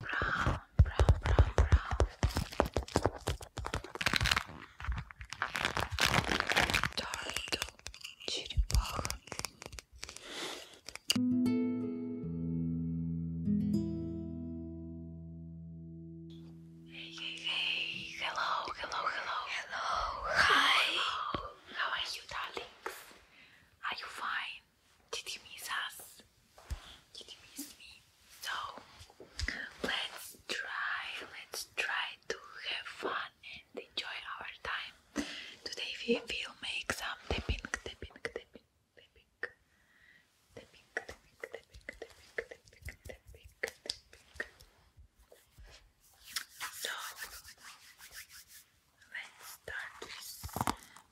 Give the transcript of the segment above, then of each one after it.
brown, brown, brown, brown. Turtle, черепаха. Hey, hey, hey! Hello, hello, hello, hello! Hi! How are you, darlings? Are you fine? Did you miss us? Did you miss me? So let's try, let's try to have fun and enjoy our time. Today we will make some dipping, dipping, dipping, dipping, tapping, tapping, tapping, tapping, tapping, tapping, tapping. So let's start with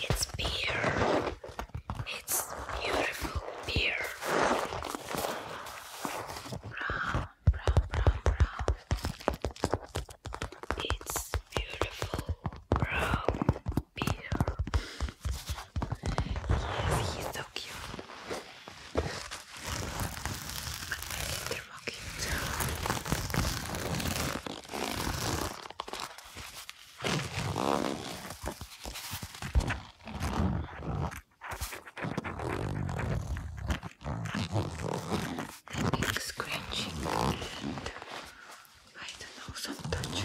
It's beer. It's beautiful beer. Brown, brown, brown, brown. It's beautiful brown beer. Yes, he's so cute. Like scratching. I don't know, some touching.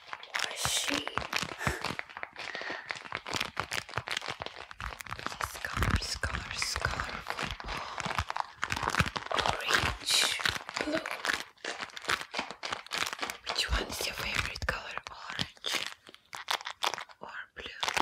was she? Colors, orange, blue. Which one is your favorite color? Orange or blue.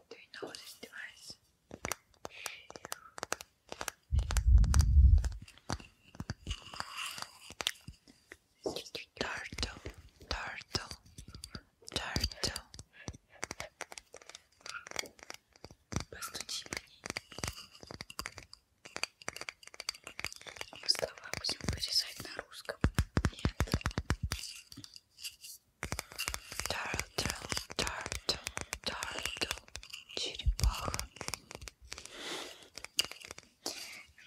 Do you know this device? Turtle, turtle, turtle. Постучи по ней. А мы слова будем вырезать на русском. Нет. Turtle, turtle, turtle, черепаха.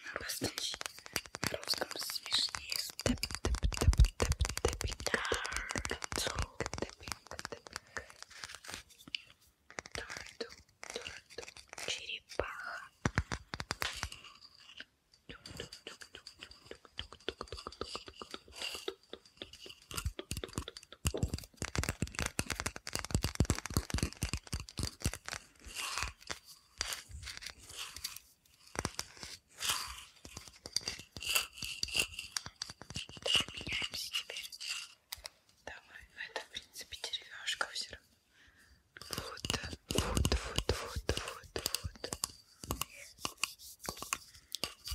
На русском, на русском смешнее. Тэп, тэп, тэп, тэп, тэп, Turtle, turtle, черепаха. Меняемся теперь. Давай, ну это в принципе деревяшка все равно. food, food, food, food, food, food.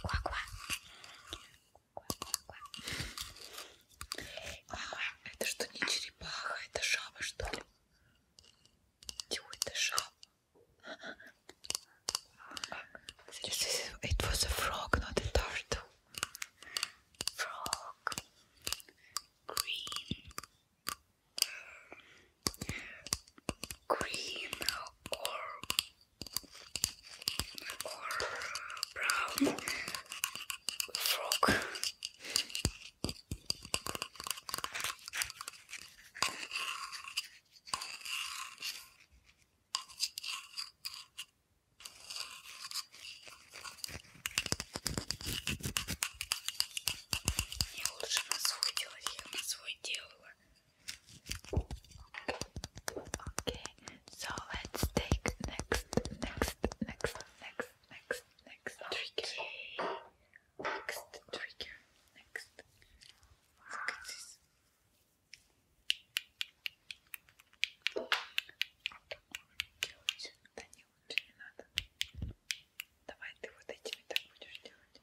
Quack, quack. Quack, quack, quack. Это что, не черепаха, это жаба, что ли? It was a frog, not a turtle. Frog. Green green or or brown frog. Я лучше на свой делаю, я на свой делала. Okay, so let's take next, next, next, next, next, next trigger. Okay. Next trigger. Next. Look at this. Then you вот не надо. Давай ты вот этими так будешь делать.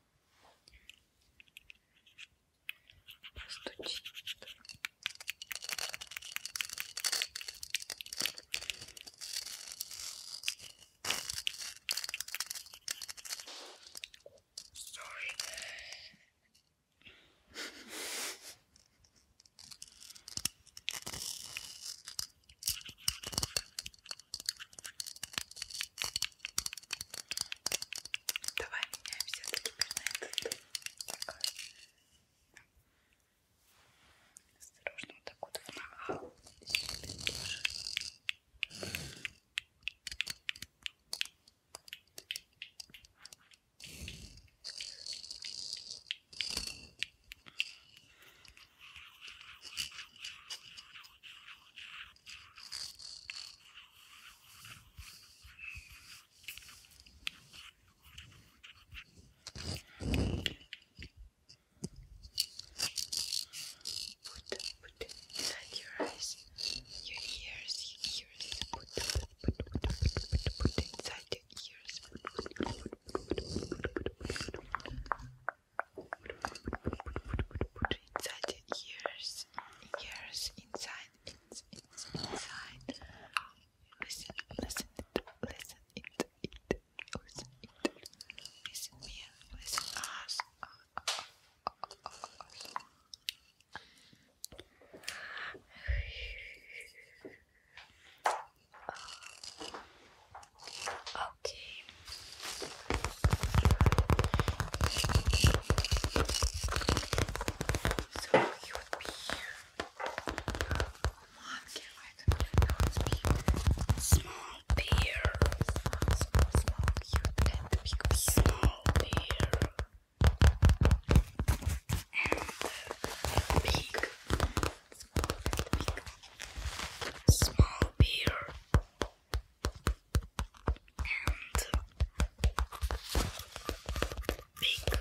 Постучи. Sorry. Давай меняемся теперь на этот. Так. Осторожно, вот так вот в ногах. Put, put inside your eyes, your ears, your ears. Put, put, put, put, put, put inside your ears. Put, put, put, put, put, put, put, put, put inside ears, ears, inside, it's, inside. Listen, listen it, listen it, it, listen it, listen me, listen us okay. So you would be oh, small beer, small, small, small, cute, small beer, and big small beer and big beer.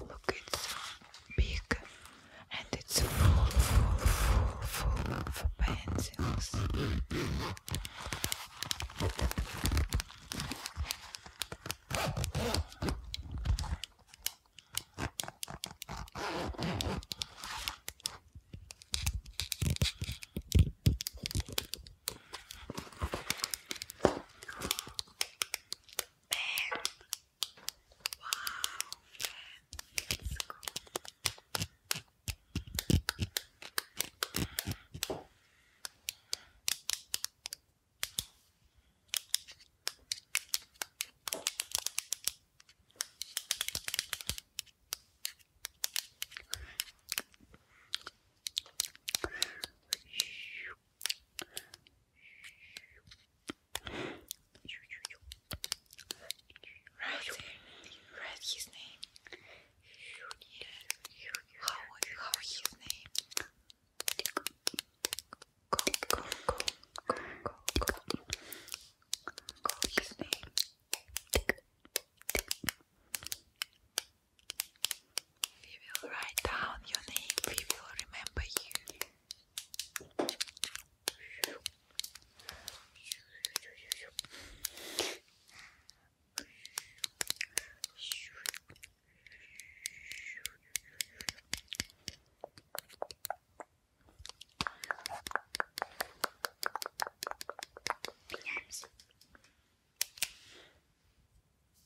Look, it's so big and it's full, full, full, full of pencils. Man, that's cool. Writing, his name. How, how his name? Go, go, go, go, go, go. Go his name. We will write down your name. We will remember you. Peanuts.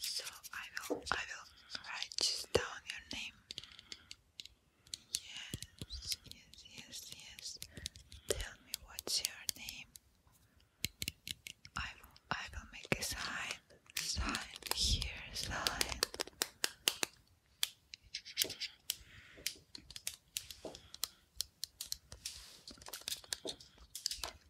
So I will I will write just down your name. Yes, yes, yes, yes. Tell me what's your name. I will I will make a sign. Sign here, sign.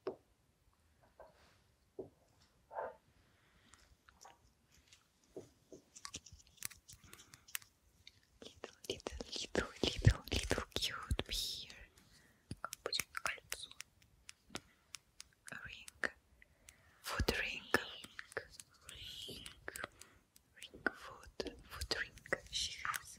Little, little, little, little, little cute beer. Ring. Food ring. Ring. Ring food. Food ring. She has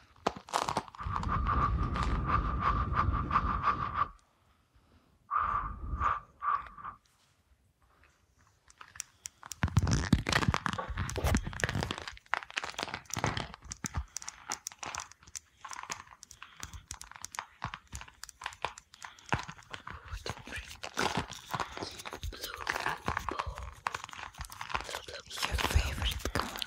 Blue, blue, your favorite color.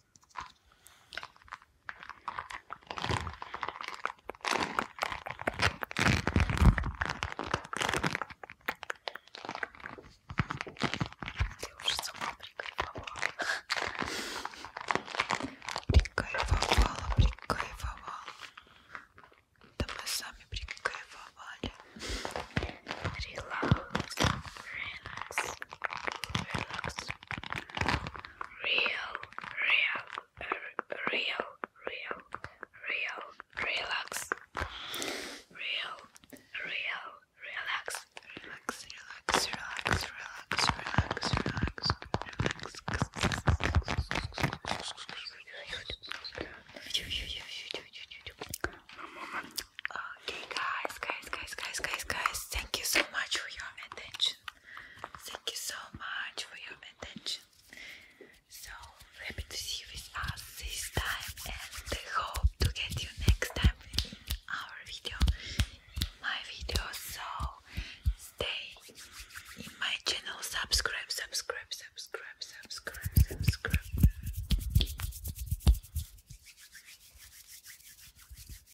Ты уже сама прикайфовала. Прикайфовала, прикайфовала. Да мы сами прикайфовали. Релакс. Релакс. Релакс. Релакс. real, real, real, real, relax, real, real, relax, relax, relax, relax, relax, relax, relax, relax. Okay, guys, guys, guys, guys, guys, guys. Thank you so much for your attention. Thank you so much for your attention. So happy to see you with us this time and hope to get you next time in our video, my video. So stay in my channel, subscribe, subscribe, subscribe, subscribe, subscribe.